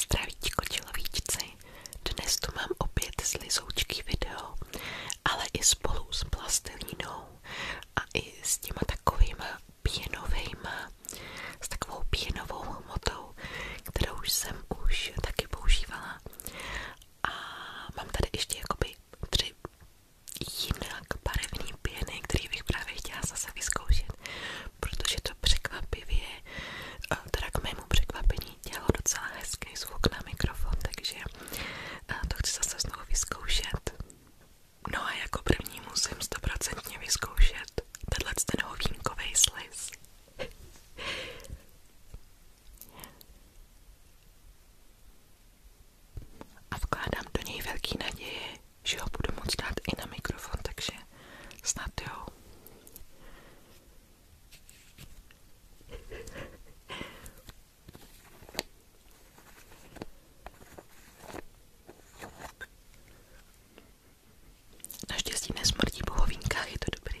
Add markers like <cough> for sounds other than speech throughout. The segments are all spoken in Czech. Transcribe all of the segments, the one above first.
Zdravíčko čelovíčci, dnes tu mám opět z Lizoučky video, ale i spolu s plastelinou a i s těma takovýma pěnovejma, s takovou pěnovou hmotou, kterou jsem už taky používala. A mám tady ještě jakoby tři jinak barevné pěny, které bych právě chtěla vidět, protože to překvapivě, eh, teda k překvapení, dělalo docela hezký zvuk na mikrofon, takže eh, to zase znovu vyzkoušet. No a jako první musím 100% vyzkoušet tenhle ten hovínkovej sliz. A vkládám do něj velký že ho budu moc dát i na mikrofon, takže snad jo. Naštěstí nesmrdí po hovinkách, to dobrý.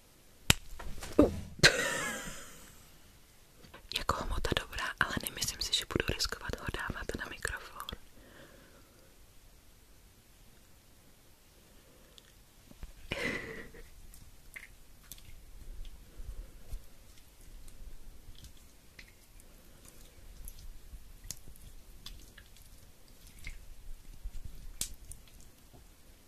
jako hmota dobrá, ale nemyslím si, že budu riskovat ho dávat na mikrofon.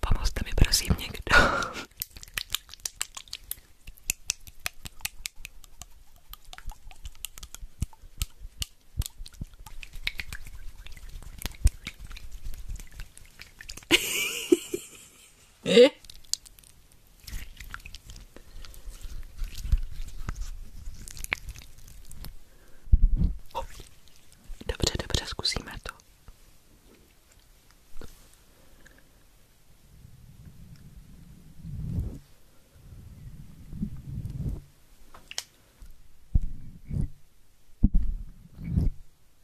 Pomozte mi prosím někdo. Eh? Dobře, dobře, zkusíme to.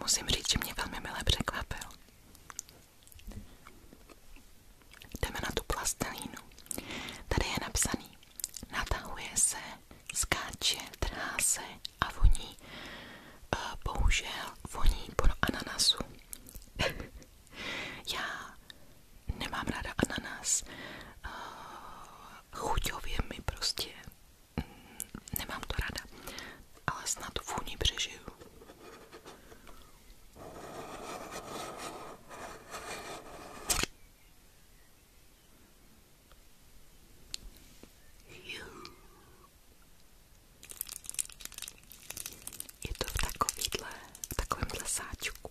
Musím říct, že mě velmi milé překvapil. Jdeme na tu plastelínu. Tady je napsaný, natahuje se, skáče, trhá se a voní. Eh, bohužel voní po ananasu. <laughs> Já nemám ráda ananas. Eh, chuťově mi prostě mm, nemám to ráda ale snad vůni přežiju. Je to v takovýhle, v takovémhle sáčku.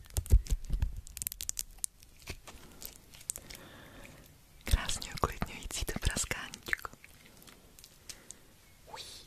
Krásně uklidňující to praskáníčko. Ují.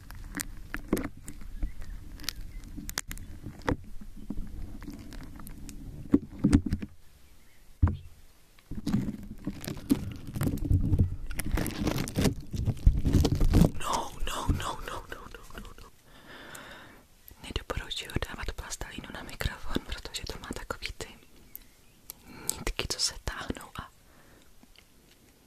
No, no, no, no, no, no, no, no. Nedoporučuji dávat plastelínu na mikrofon, protože to má takový ty nitky, co se táhnou a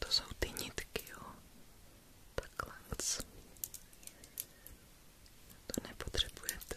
To jsou ty nitky, jo. Takhle moc. To nepotřebujete.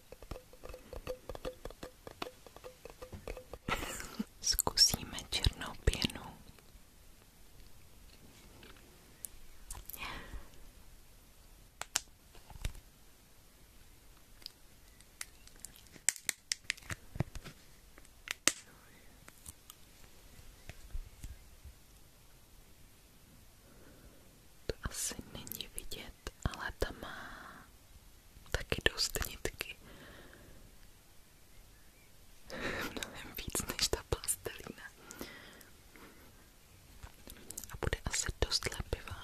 <laughs> Zkusíme černou pěnu. To asi není vidět vidět, ale ta má taky dost nitky. <laughs> Mnohem víc než ta plastelína. A bude asi dost lepivá.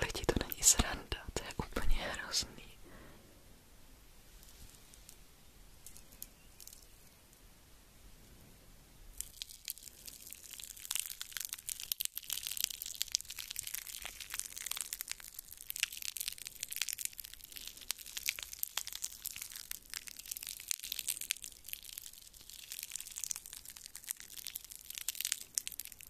Lidi, to není sranda, to je úplně hrozný.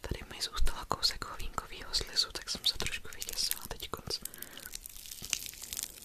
Tady mi zůstala kousek hovínkovýho slizu, tak jsem se trošku vyděsila teď konc.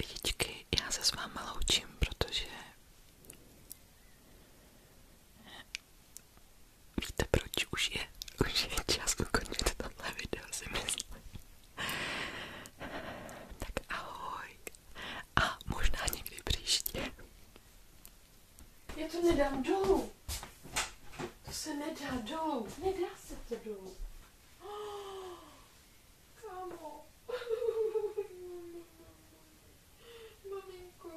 Lidičky, já se s váma loučím, protože Víte proč? Už je, už je čas ukončit tohle video, si myslím. Tak ahoj. A možná někdy příště. Já to nedám dolů. To se nedá dolů. Nedá se to dolů. Oh, <gasps> kámo. <laughs> Maminko.